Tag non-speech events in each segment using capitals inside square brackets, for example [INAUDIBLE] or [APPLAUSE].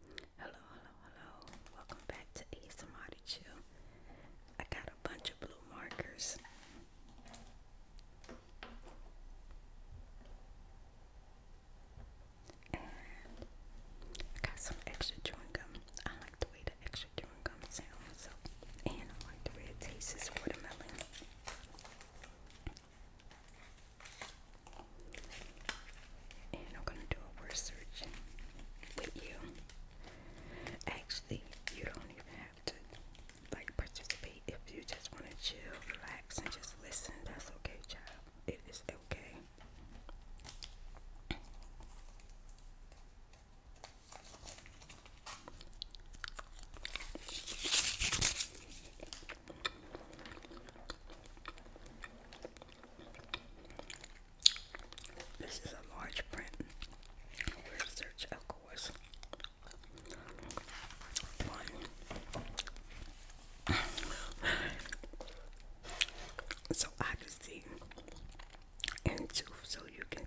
Hello, hello, hello. Welcome back to ASMR Chill. I got a bunch of blue markers. And I got some extra chewing gum. I like the way the extra chewing gum sounds. and I like the way it tastes. Watermelon. And I'm gonna do a word with you. Actually, you don't even have to like participate if you just want to chill, relax, and just listen. That's okay, child. It is okay. This is a large print. Research, of course. One. [LAUGHS] so I can see, and two, so you can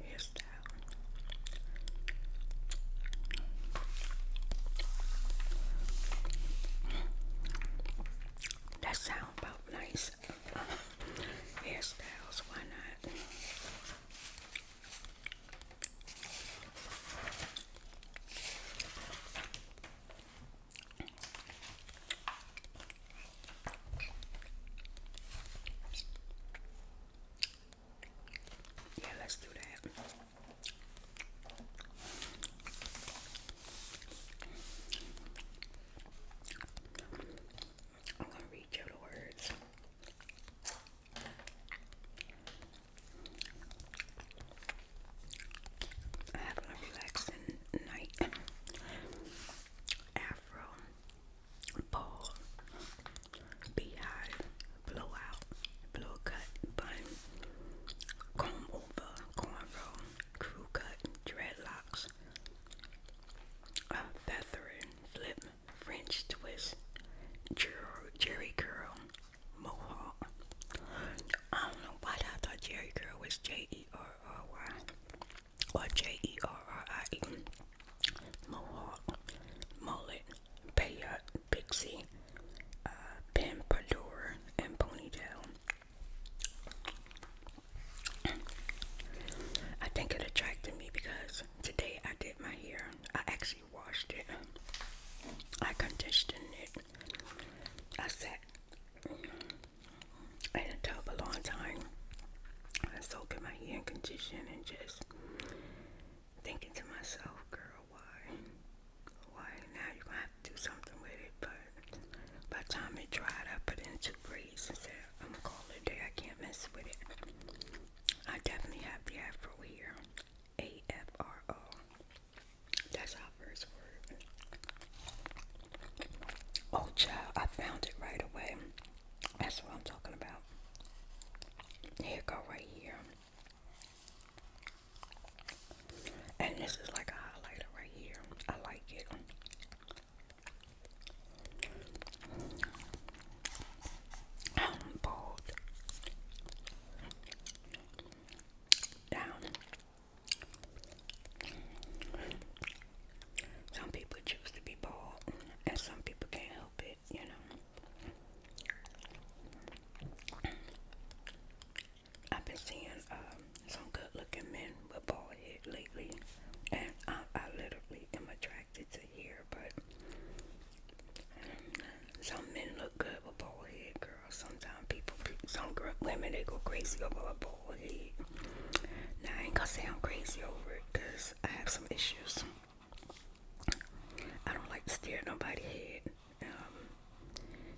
Here's that one. That sound about nice hairstyles, why not? Yeah, let's do that. I'm gonna read you the words. Having a relaxing night. Afro, ball, beehive, blowout, blow cut, bun, comb over, cornrow, crew cut, dreadlocks, Ruffles, a feathery flip, French twist, Jerry, Curl, Mohawk. I don't know why I thought Jerry Curl was J E R R Y or J E R R I E. Mohawk, Mullet, Payot, Pixie, uh, and Ponytail. I think it attracted me because today I did my hair. I actually washed it. I conditioned it. I sat in a tub a long time. I soaked my hair in condition and just thinking to myself, girl, why? Why? Now you're going to have to do something with it, but by time it dried, I it into freeze and said, I'm gonna call it day. I can't mess with it. I definitely have the afro here. A F R O. That's our first word. Oh, child, I found it right away. That's what I'm talking about. Here go right here. And this is like a highlighter right here. I like it both down. Some people choose to be bald, and some people can't help it, you know. I've been seeing um, some good looking men with bald head lately, and I, I literally am attracted to here. but some men look good with bald head, girl. Sometimes people, some girls, women, they go crazy over a bald head. Now, I ain't gonna say I'm crazy over it because I have some issues. I don't like to stare at nobody's head. Um,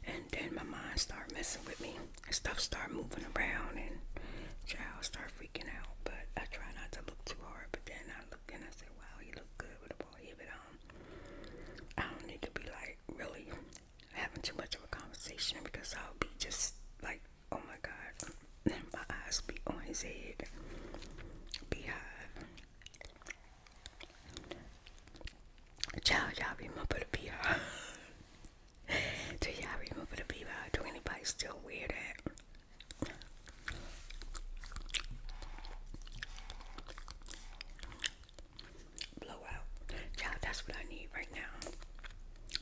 and then my mind start messing with me stuff start moving around and child start freaking out. But I try not to look too hard. But then I look and I say, wow, you look good with a ball here. But um, I don't need to be like really having too much of a conversation because I'll be just like, oh my God, [LAUGHS] my eyes be on his head, beehive. Child, y'all remember the beehive. Do y'all remember the people? Do anybody still wear that? Blow out. that's what I need right now.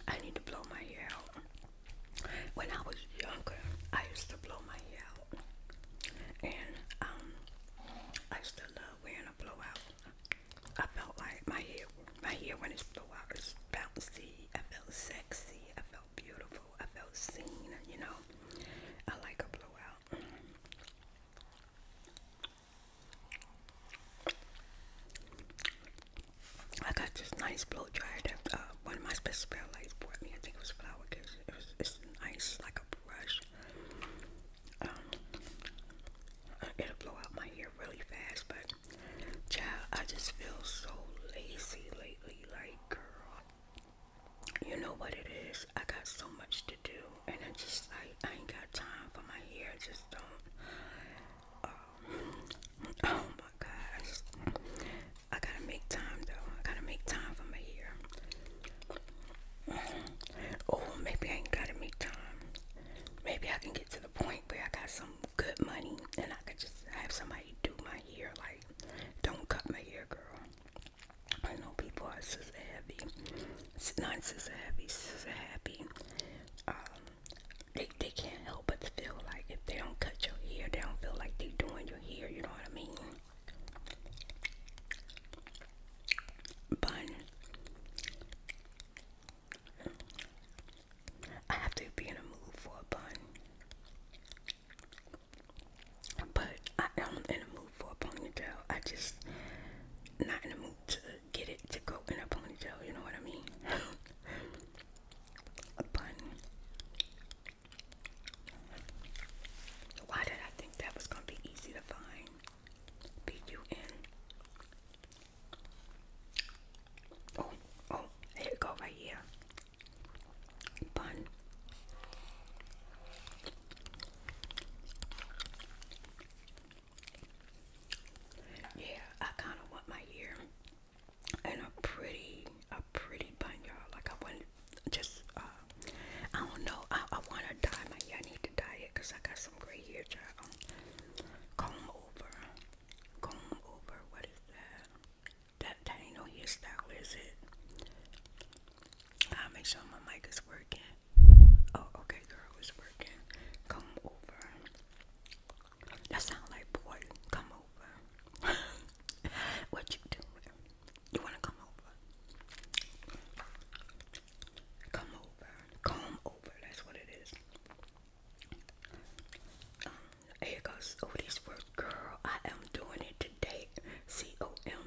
I need to blow my hair out. When I was younger, I used to blow my hair out. And um I used love wearing a blowout. I felt like my hair, my hair when it blew bouncy. I felt sexy. I felt beautiful. I felt seen. You know, I like a blowout. I got this nice blow dryer that uh, one of my special lights bought me. I think it was flower because it was it's nice, like a brush um, it'll blow out my hair really fast, but child, I just feel so lazy lately, like girl, you know what it is, I got so much to do, and I just like, I ain't got time for my hair, I just don't, um, oh my gosh, I gotta make time though, I gotta make time for my hair, oh, maybe I ain't gotta make time maybe I can get to the point where I got some good money and I could just have somebody do my hair. Like, don't cut my hair, girl. I know people are scissor heavy, non scissor heavy, so happy. Um, they, they can't help but feel like if they don't cut your hair, they don't feel like they're doing your hair, you know what I mean? Bun. I have to be in a mood for a bun. But I am in a mood for a ponytail. I just not in a mood to get it to go in a ponytail, you know what I mean? [LAUGHS] a bun. Why did I think that was gonna be easy to find? B U N. Oh, oh, here it go right here. Bun. Yeah, I kind of want my ear and a pretty, a pretty bun, y'all. Like I want just, uh, I don't know. I, I want to dye my ear. I need to dye because I got some gray hair child. Comb over. Comb over. What is that? That, that ain't no hairstyle, is it? i make sure my mic is working. Oh, okay, girl, it's working. Come over. That sound like boy. Come over. [LAUGHS] what you doing? You wanna come over? Come over, comb over. That's what it is. Um, here goes all oh, these words, girl. I am doing it today. C O M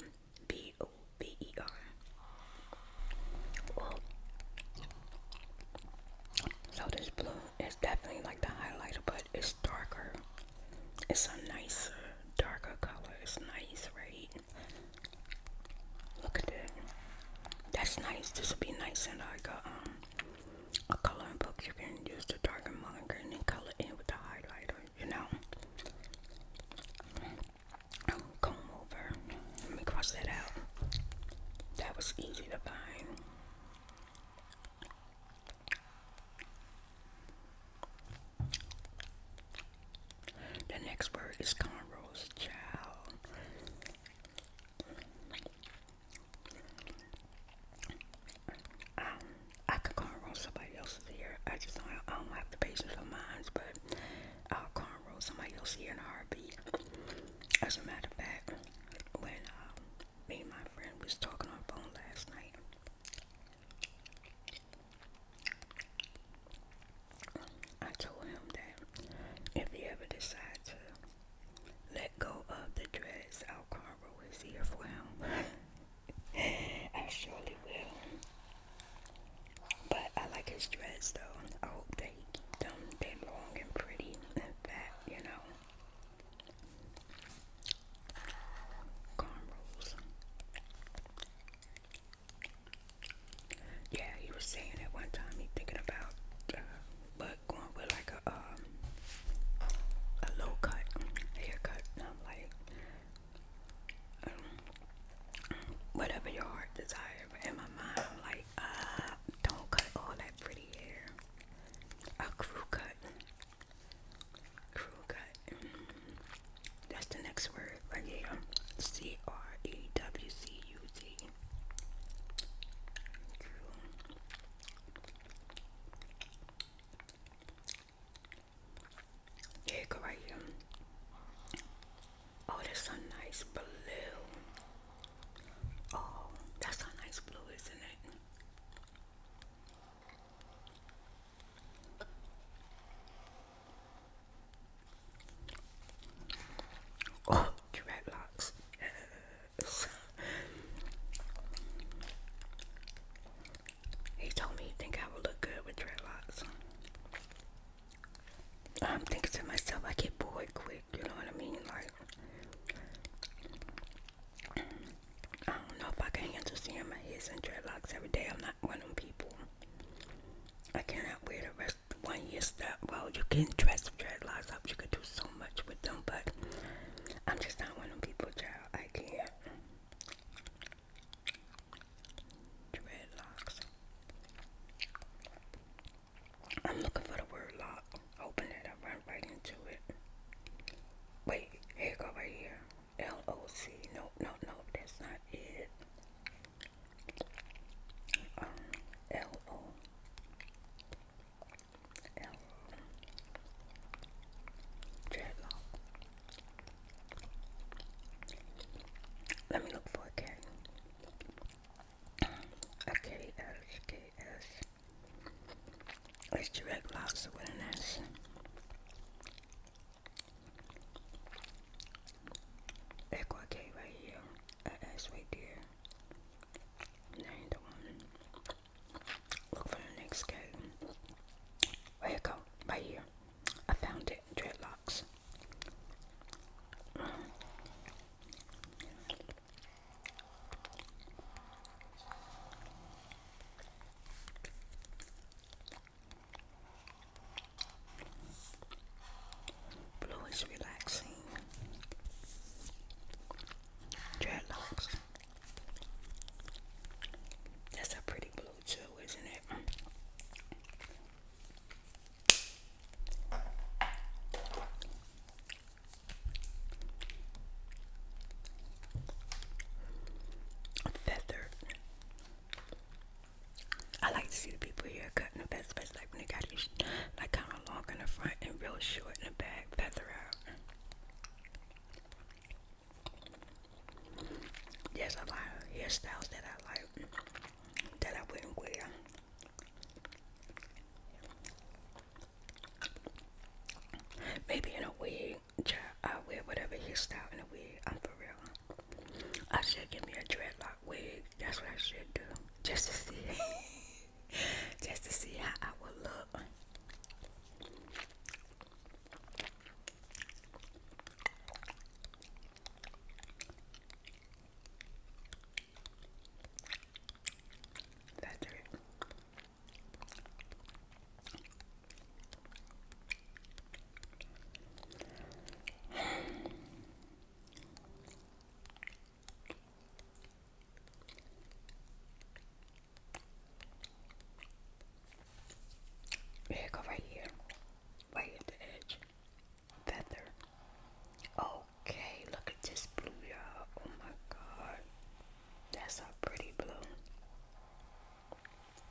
B O B E R. so this blue is definitely like the highlighter, but it's darker. It's a nice darker color. It's nice, right? Look at that. That's nice. This would be nice And I got um, a coloring book. You can use the darker mug and then color in with the highlighter, you know? Comb over. Let me cross that out. That was easy to find. The next word is Conroe's child. Um, I could cornrow somebody else's ear. I just don't, have the patience for mine, but I'll cornrow somebody else's ear in a heartbeat. As a matter of fact, when um, me and my friend was talking on phone last night, I told him that if he ever decides to let go of the dress, Al Alcaro is here for him. [LAUGHS] I surely will. But I like his dress, though. I hope that he keep them. they long and pretty and fat, you know. Cornrows. Yeah, he was saying at one time he thinking about, uh, but going with like a um, a low cut haircut. I'm like, um, whatever your heart desire. in my mind, like, uh, don't cut all that pretty hair. A crew cut, crew cut. That's the next word, Creatum. C R E W C U T. Yeah, go right here. Oh, that's a nice blue. Oh, that's a nice blue, isn't it? Oh, direct Yes. [LAUGHS] He told me he think I would look good with dreadlocks. I'm thinking to myself, I get bored quick, you know what I mean? Like, I don't know if I can handle seeing my hair in dreadlocks every day. I'm not one of them people. I cannot wear the rest one year stuff. Well, you can dress dreadlocks up. You can do so much with them, but I'm just not one of them people, child. I can't. Dreadlocks. I'm looking for the word lock. Open it. I run right into it. Wait, here go right here. L-O-C. no no, no, that's not it. Um, L-O. L. Dreadlock. Let me look for a cat. A K S K S. It's dreadlocks with an S. Echo K right here, an S right there. Name the one. Look for the next K. Where it go? Right here. I found it. Dreadlocks. Blue is relaxing. Dreadlocks. That's a pretty blue too, isn't it? Feathered I like to see the people here cutting the best, best like when they got it like kind of long in the front and real short in the back, feather There's a lot of hairstyles that I like that I wouldn't wear. Maybe in a wig, I wear whatever hairstyle in a wig. I'm for real. I should give me a dreadlock wig. That's what I should do. Just to see. [LAUGHS] just to see how I would look. That's it. Here, go right here, way at the edge. Feather. Okay, look at this blue, y'all. Oh my god, that's a pretty blue.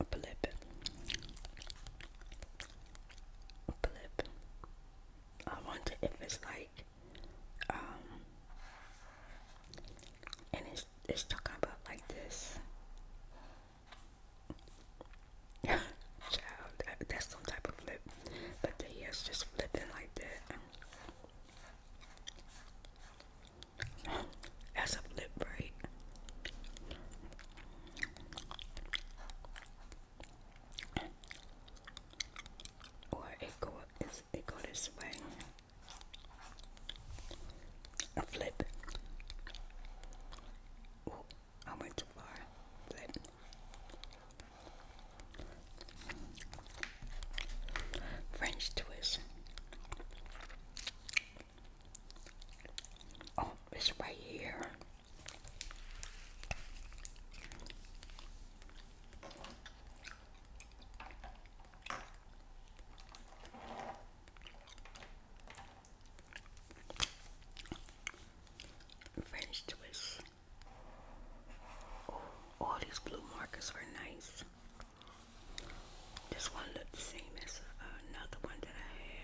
Upper lip. Upper lip. I wonder if it's like, um, and it's, it's talking about like this. Child, [LAUGHS] that's some type of flip. But the hair's just flipping like that. [LAUGHS] That's a flip, right? Or it go this it go this way. A flip. I went too far, but French twist. Oh, it's right here. French twist. Oh, all these blue markers were nice. This one looked the same as uh, another one that I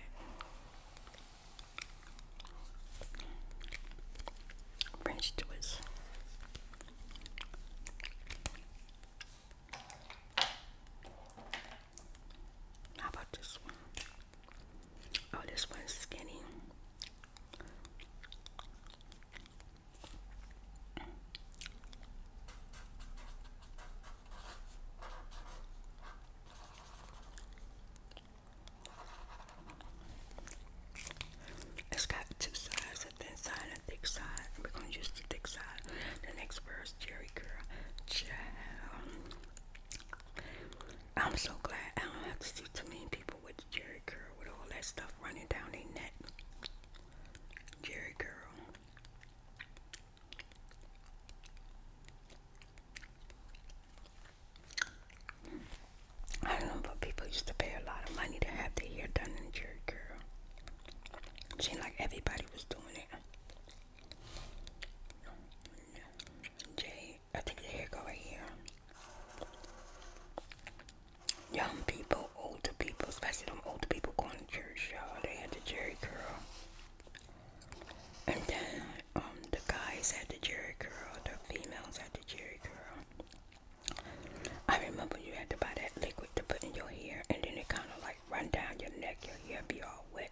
had. French twist. How about this one? Oh, this one's skinny. It's got two sides, a thin side and a thick side. We're gonna use the thick side. The next word Jerry Girl. Child. I'm so glad I don't have to see too many people with Jerry curl with all that stuff running down their neck. Jerry curl. I remember people used to pay a lot of money to have their hair done in Jerry curl. seemed like everybody was doing it. Jay, I think the hair go right here. Young people, older people, especially them older people going to church, y'all. They had the Jerry curl. And then um, the guys had the Jerry curl, the females had the Jerry curl. I remember you had to buy that liquid to put in your hair, and then it kind of like run down your neck, your hair be all wet.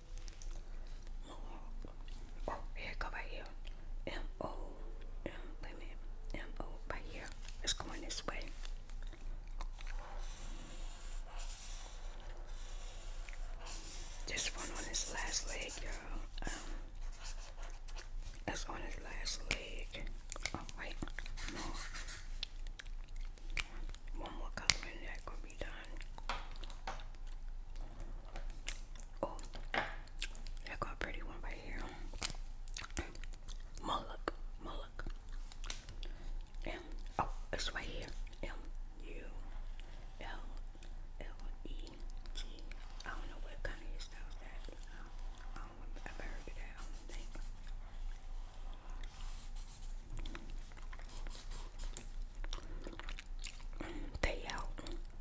Oh, here, go right here. M O M. Wait a M O right here. It's going this way. This one on his last leg, you um, that's on his last leg. Oh wait, no. One more color that could be done. Oh, got a pretty one right here. Mullock, mullock. M, oh, it's right here. M U L L E G. I don't know what kind of stuff that. I don't, I that. Payout.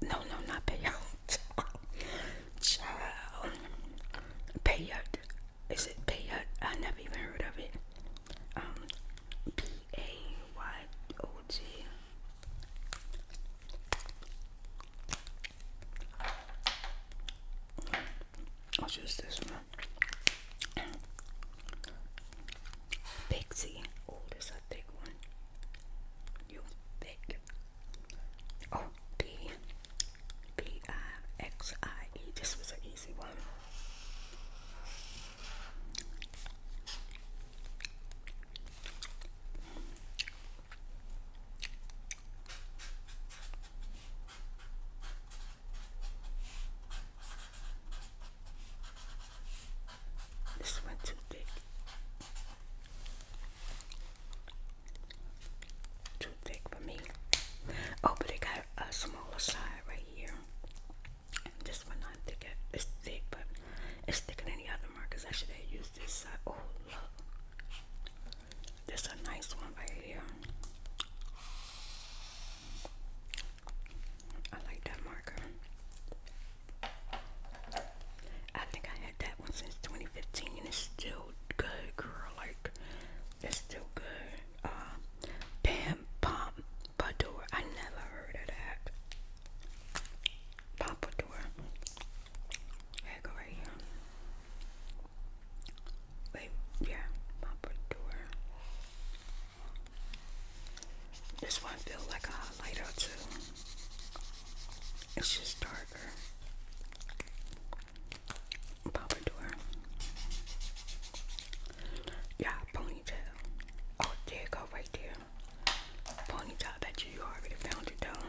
No, no, not payout. [LAUGHS] Child. Is it payout? I never even heard of it. Um, P A Y O G. I'll just this one. Pixie. Oh, this is a big one. You big. Oh, B. B I X I E. This was an easy one. This one too thick. Too thick for me. Oh, but it got a smaller side right here. This one I think it's thick, but it's thicker than the other markers. I should have used this side. Oh, look. This a nice one right here. I like that marker. I think I had that one since 2015 and it's still good, girl. Like, it's still good. Uh, Pam Pom Badour. I never heard of that. Pompadour. There go right here. Wait, yeah, Pompadour. This one feels like a highlighter too. It's just darker. Pompadour. Yeah, ponytail. Oh, there you go, right there. Ponytail. That you you already found it though.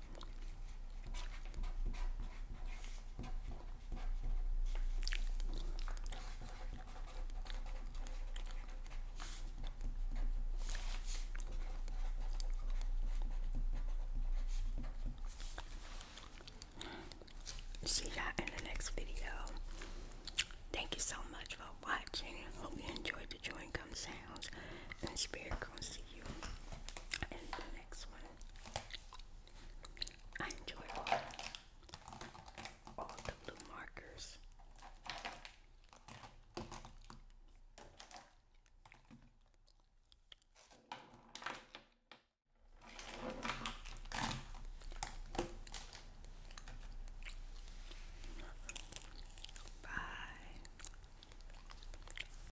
See you in the next video. Thank you so much for watching. Hope you enjoyed the joy and gum sounds and spirit. comes to you in the next one. I enjoy all, the blue markers. Bye.